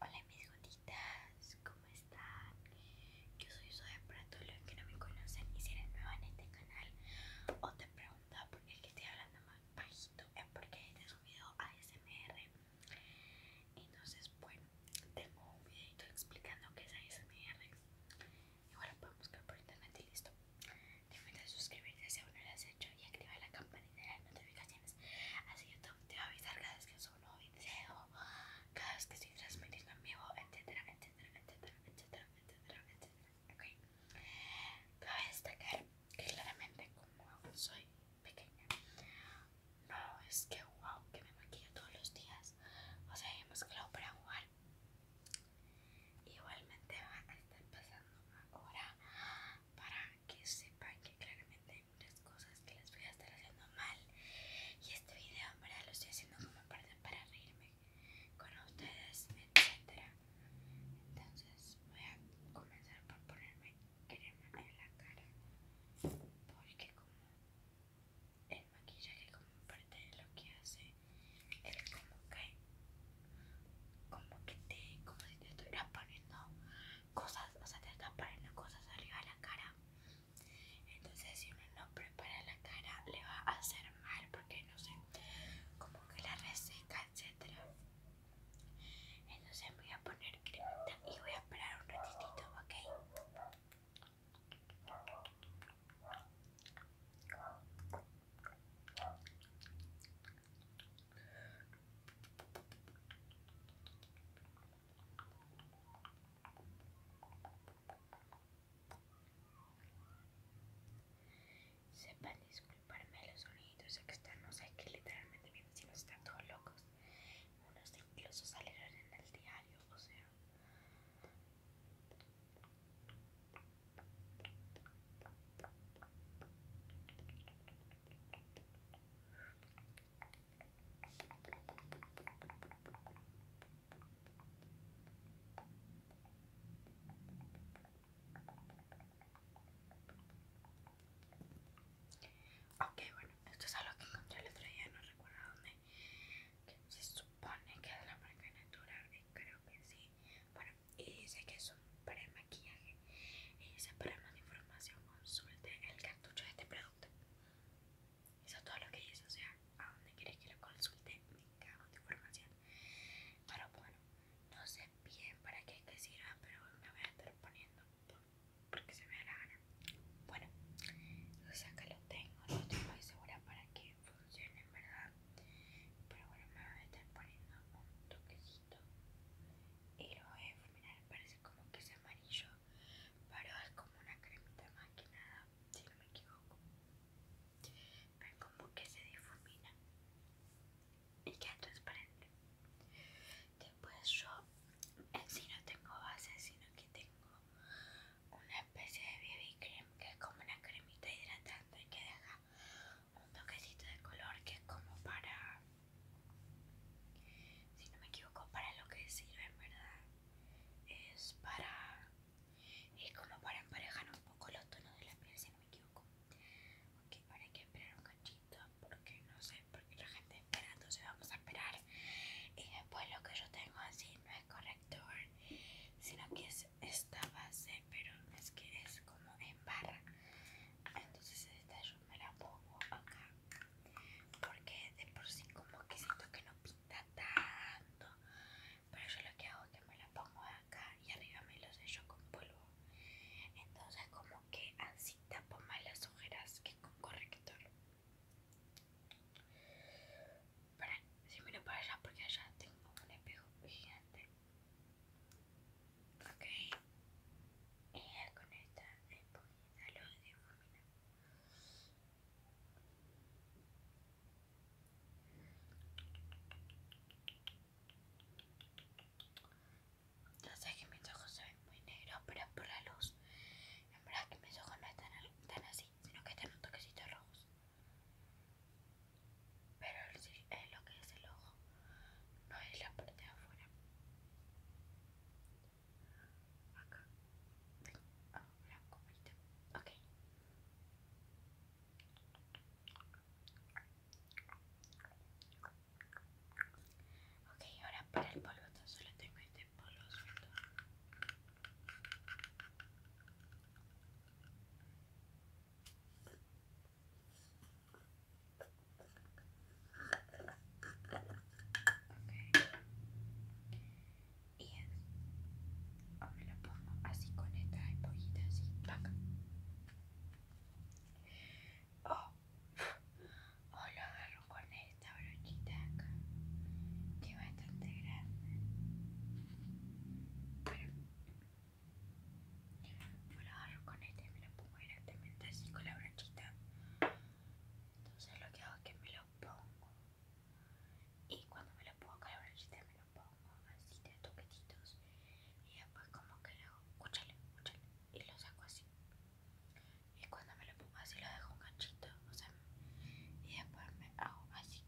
Hola mis gotitas, ¿cómo están? Yo soy Zoe Prato, los que no me conocen y si eres nuevo en este canal o te preguntas por qué estoy hablando más bajito es porque he este subido un ASMR entonces bueno, tengo un videito explicando qué es ASMR igual ahora puedes buscar por internet y listo te invito suscribirte si aún no lo has hecho y activar la campanita dinero notificaciones. Así yo te voy a avisar cada vez que subo un nuevo video, cada vez que estoy transmitiendo en vivo, etcétera, etcétera, etcétera, etcétera, etcétera, etcétera. Ok. Cabe destacar que claramente como soy pequeña, no es que wow, que me maquillo todos los días. O sea, hemos mezclado para jugar. Igualmente va a estar pasando ahora para que sepan que claramente hay cosas que les voy a estar haciendo mal y este video en lo estoy haciendo como parte para reírme con ustedes, etcétera Entonces voy a comenzar por ponerme crema en la cara porque como el maquillaje como parte de lo que hace es como que como que te como si te estuviera poniendo cosas, o sea, te están poniendo cosas arriba de la cara. Entonces, si uno no prepara la cara, le va a hacer mal porque no sé, como que la reseca, etc Entonces, voy a poner crema y voy a esperar un ratito, ¿ok? Sepan disculparme los sonidos externos, hay que literalmente mis vecinos están todos locos. Unos incluso salieron en el diario, o sea. Ok, bueno, esto es algo que encontré el otro día, no recuerdo dónde. se supone que es la marca natural, y creo que sí. Bueno, y dice que eso para el maquillaje y dice para más información consulte el cartucho de este producto eso es todo lo que dice o sea a dónde quieres que lo consulte me cago de información pero bueno no sé bien para qué que sirva pero me voy a estar poniendo porque se me da la gana bueno o sea que lo tengo no estoy muy segura para que funcione en verdad pero bueno me voy a estar poniendo un toquecito y lo voy a difuminar, parece como que es amarillo, pero es como una cremita más que nada, si no me equivoco. Pero como que se difumina y queda transparente. Después yo en eh, sí no tengo base, sino que tengo una especie de BB cream que es como una cremita hidratante que deja un toquecito de color que es como para, si no me equivoco, para lo que sirve en verdad. Es para, es como para emparejar un poco los tonos de la piel, si no me equivoco. Ok, ahora hay que esperar un cachito porque no sé, porque la gente espera, entonces vamos a esperar. Y después lo que yo tengo así no es corrector, sino que es esta base, pero es que es como en barra. Entonces se yo me la pongo acá porque de por sí como que siento que no pinta tanto pero yo lo que hago es que me la pongo acá y arriba me los sello con polvo entonces como que así tapo más las ojeras que con corrector si miro para allá porque allá tengo un espejo gigante Ok. Ella con esta luz lo difumina. ya sé que mis ojos se ven muy negros, pero es por la luz. la verdad es que mis ojos no están así, sino que están un toquecito rojos. Pero es lo que es el ojo no es la parte de afuera. Acá, ah, oh, ok. Ok, ahora para el polvo, solo tengo este polvo Okay. Y es, o me lo pongo así con esta esponjita así, Oh. O oh, lo agarro con esta brochita acá, que va bastante grande. Yo lo agarro con este y me lo pongo directamente así con la brochita. Entonces lo que hago es que me lo pongo. Y cuando me lo pongo con la brochita me lo pongo así de toquetitos. Y después como que le hago, escúchale, escúchale. Y lo saco así. Y cuando me lo pongo así lo dejo un ganchito. O sea, y después me hago así.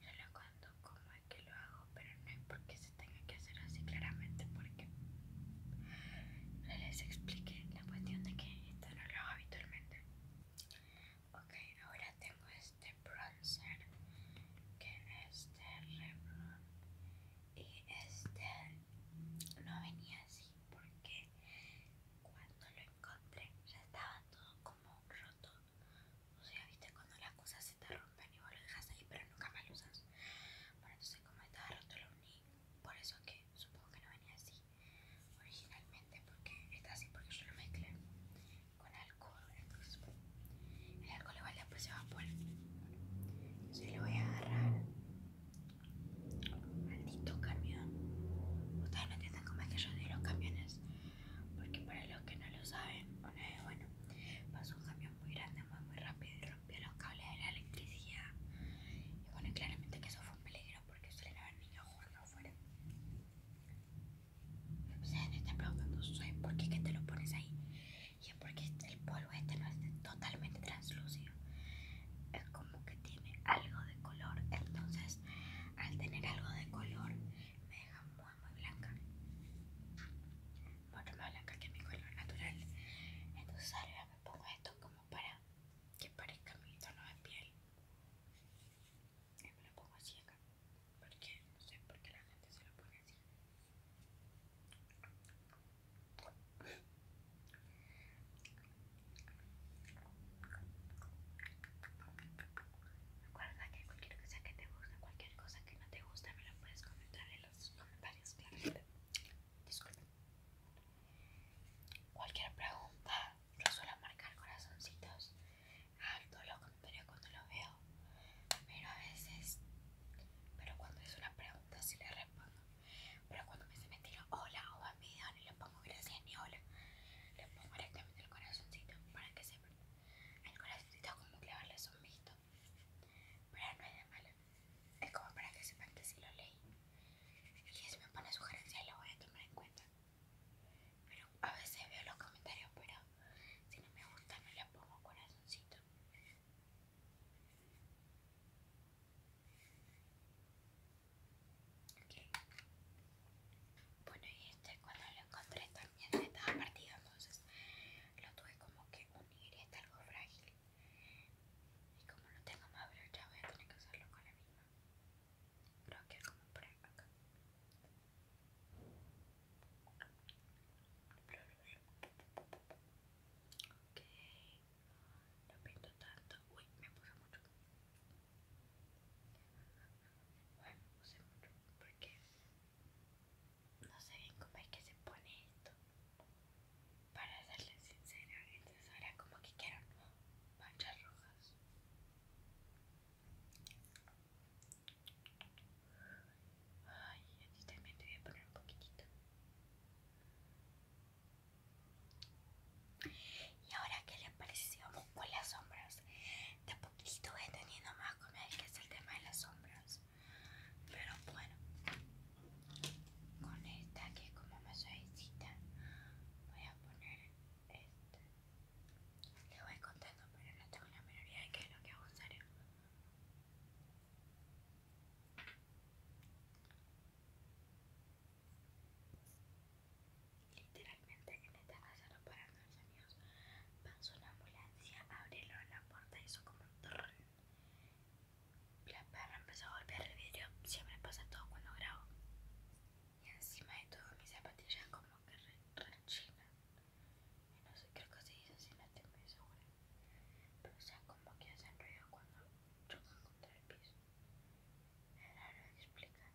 Yo lo cuento como es que lo hago, pero no es porque se tenga que hacer así claramente, porque no les expliqué la cuestión de que esto no lo hago habitualmente. Ok, ahora tengo este bronzer, que es de este Revlon, y este no venía así porque cuando lo encontré ya estaba todo como roto. O sea, viste cuando las cosas se está te rompen y vos lo dejas ahí, pero nunca más lo usas. Bueno, entonces, como estaba roto, lo uní. Por eso que supongo que no venía así originalmente, porque está así, porque yo lo mezclé con alcohol. Entonces, el alcohol igual después se va a poner. Entonces, lo voy a agarrar. Maldito camión. Ustedes no entienden cómo es que yo doy los camiones porque para los que no lo saben, bueno, pasó un camión muy grande, muy, rápido y rompió los cables de la electricidad. Y bueno, claramente que eso fue un peligro porque suelen haber niños jugando afuera. Se me está preguntando, por qué que te lo pones ahí? Y es porque el polvo este no es totalmente translúcido. Es como que tiene algo de color. Entonces, al tener algo de color, me deja muy blanca mucho más blanca que mi color natural entonces ahora me pongo esto como para que parezca mi tono de piel y me lo pongo así acá porque no sé por qué la gente se lo pone así Recuerda que cualquier cosa que te guste, cualquier cosa que no te guste, me lo puedes comentar en los comentarios, Claro Disculpen. Cualquier pregunta, yo suelo marcar corazoncitos a todos los comentarios cuando lo veo. Pero a veces, pero cuando es una pregunta, sí le respondo. Pero cuando me se me hola o a mi ni le pongo gracias ni hola. Le pongo directamente el corazoncito para que se el corazoncito es como clavarle es un Pero no es de malo. Es como para que sepan que si lo leí. Y si me pone sugerencias lo voy a tomar en cuenta. Pero a veces veo los comentarios, pero si no me gusta no le pongo corazoncito. ok Bueno, y este cuando lo encontré ya de estaba partido, entonces lo tuve como que unir y está algo frágil. Y como no tengo más brocha, voy a tener que usarlo con la misma. Creo que es como por acá. Ok, no pinto tanto. Uy, me puse mucho. Bueno, puse mucho porque no sé bien cómo es que se pone esto. Para serles sincera, entonces ahora como que quiero manchas rojas. Ay, a ti también te voy a poner un poquitito. Y ahora, que les parece si vamos con las sombras? de poquito voy eh, teniendo más como que es el tema de las sombras. Pero bueno, con esta que es como más suavecita, voy a poner esta. Le voy contando, pero no tengo la minoría de qué es lo que hago usar. Literalmente en esta casa para Pasó una ambulancia, abrieron la puerta y hizo como un La perra empezó a golpear el vidrio, siempre pasa todo cuando grabo. Y encima de todo mis zapatillas como que rechinan. Y no sé, creo que se dice así, no tengo muy segura. Pero sea, como que hacen ruido cuando chocan contra el piso. Es raro de explicar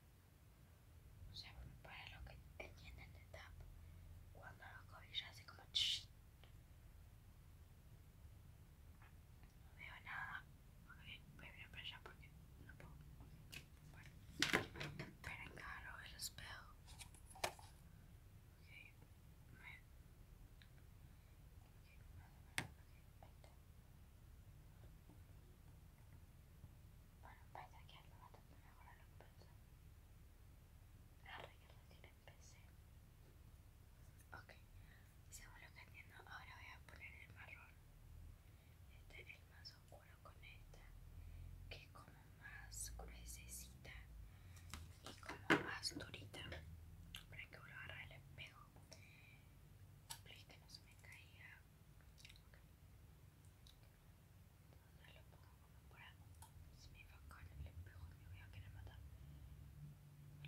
sea, para lo que entienden de tap cuando la hace como No veo nada. Ok, voy a ir para allá porque no puedo. Bueno, pero el espejo. Ok, Okay, okay, okay. que algo a Ahora que le empecé. Ok, seguro que entiendo, ahora voy a poner el marrón. Este el más oscuro con esta, que es como más gruesa y como más durita. Para que vuelva a agarrar el espejo. para que no se me caiga. No lo puedo como por acá. Si me va el espejo me voy a querer matar.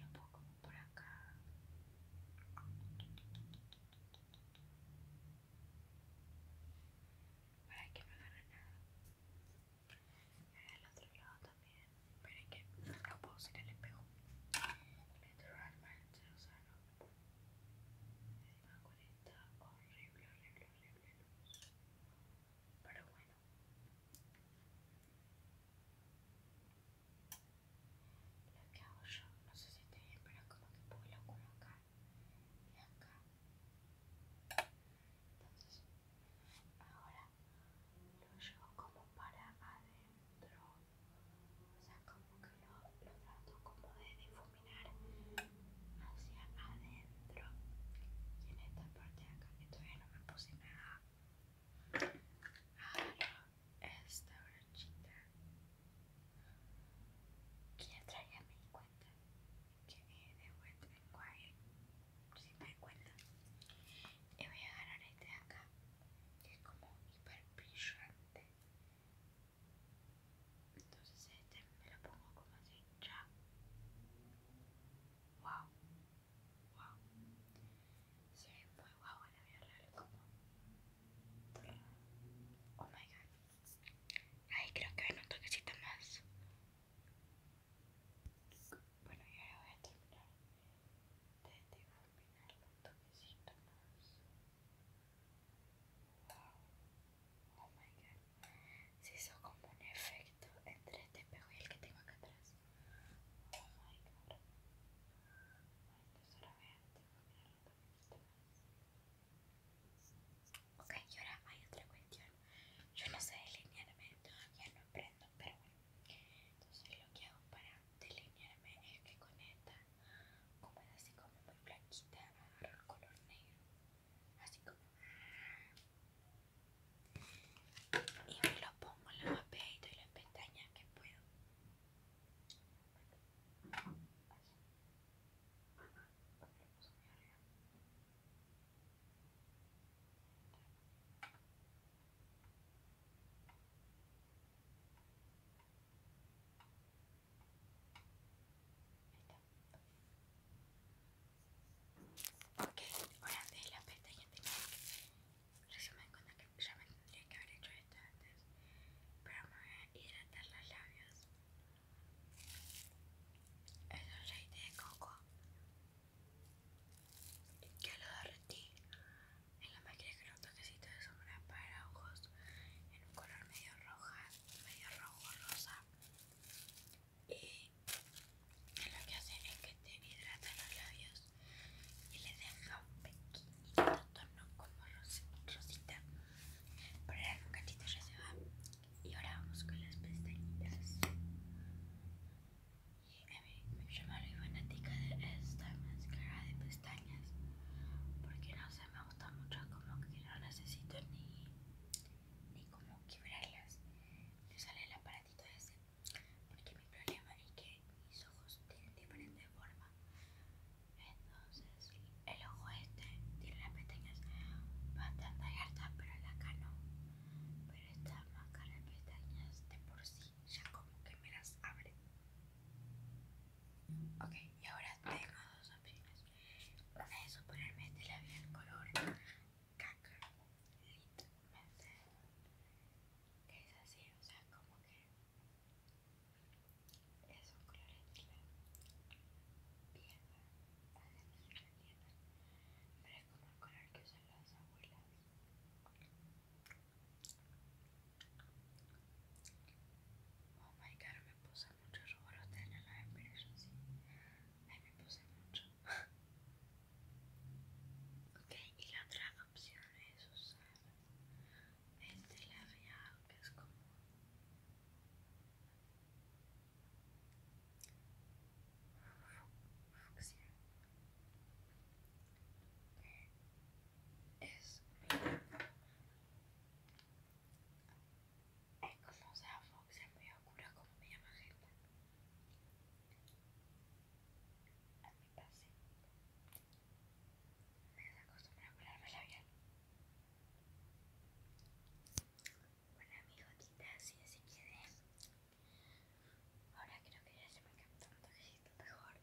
lo puedo como por acá. Para que no agarre nada. Al otro lado también. Pero es que no puedo usar el espejo. Literalmente, o sea, no. Encima con esta horrible, horrible, pero bueno. Lo que hago yo, no sé si te bien, pero como que puedo colocar y acá. Entonces, ahora lo llevo como para adentro. O sea, como que lo, trato como de difuminar terminar hacia adentro y en esta parte de acá que todavía no me puse nada agarro esta brochita que ya traía me cuenta que es de Wet n Wild si me cuenta y voy a agarrar este de acá que es como hiper brillante entonces este me lo pongo como así, ya. Wow, wow. Se ve muy guau wow en la vida real, como. Oh my god. Ahí creo que ven un toquecito más. Bueno, y ahora voy a terminar de difuminar un toquecito más. Wow. Oh my god. Se hizo como un efecto entre este espejo y el que tengo acá atrás. Oh my god. Bueno, ahora vean, tengo que Ok, y ahora hay otra cuestión. Yo no sé delinearme, todavía no aprendo, pero bueno. Entonces lo que hago para delinearme es que con esta, como así como muy blanquita, agarro el color negro así como y me lo pongo en los peitos y las pestañas que puedo Ok, ahora de la pestaña resumen me que ya me tendría que haber hecho esto antes. Pero me voy a hidratar las labios. Es un aceite de coco que lo derretí en la máquina con un toquecito de sombra para ojos en un color medio roja, medio rojo rosa y lo que hacen es que te hidrata los labios y le deja un pequeñito tono como rosita pero el gatito ya se va y ahora vamos con las pestañitas y a mí yo me fanática de esta máscara de pestañas porque no sé me gusta mucho como que no necesito ni ni como quebrarlas. Me sale el aparatito ese, porque mi problema es que mis ojos tienen diferente forma. Entonces, el ojo este tiene las pestañas bastante abiertas, pero la acá no. Pero esta máscara de pestañas de por sí ya como que me las abre. Ok, y ahora tengo dos opciones. Una de sus ponerme el color caca, literalmente, que es así, o sea, como que es un color de la tierra, pero es como el color que usan las abuelas. Oh my god, me puso gusta mucho robar la a las a Ahí me puse mucho. ok, y la otra opción es usar el de que es como Es es como sea Fox, es me oscuro como me llama gente. A mi pase. Me acostumbra a el labial. Bueno amigotitas, así así quieres. Ahora creo que ya se me captó un toquecito mejor.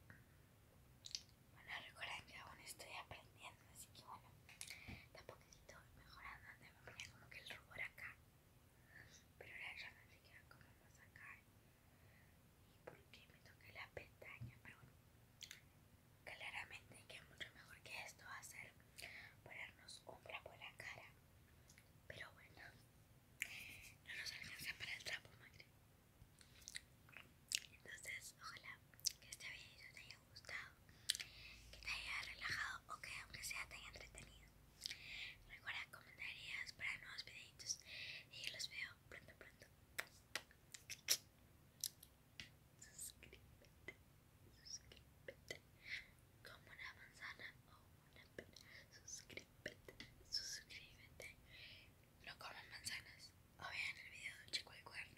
Bueno, recuerden que aún estoy aprendiendo así que bueno, tampoco estoy poquito mejorando, me ponía como que el rubor acá, pero ahora ya me queda como más acá y porque me toca la pestaña, pero bueno, claramente que mucho mejor que esto hacer. a ser ponernos sombra por la cara, pero bueno, no nos alcanza para el trapo, madre. Entonces, ojalá que este bien te haya gustado, que te haya relajado o que aunque sea te haya entretenido. Recuerda comentarías para nuevos videitos y los veo pronto pronto. Suscríbete, suscríbete como una manzana o una pera. Suscríbete, suscríbete. No como manzanas o vean el video del chico de cuerno.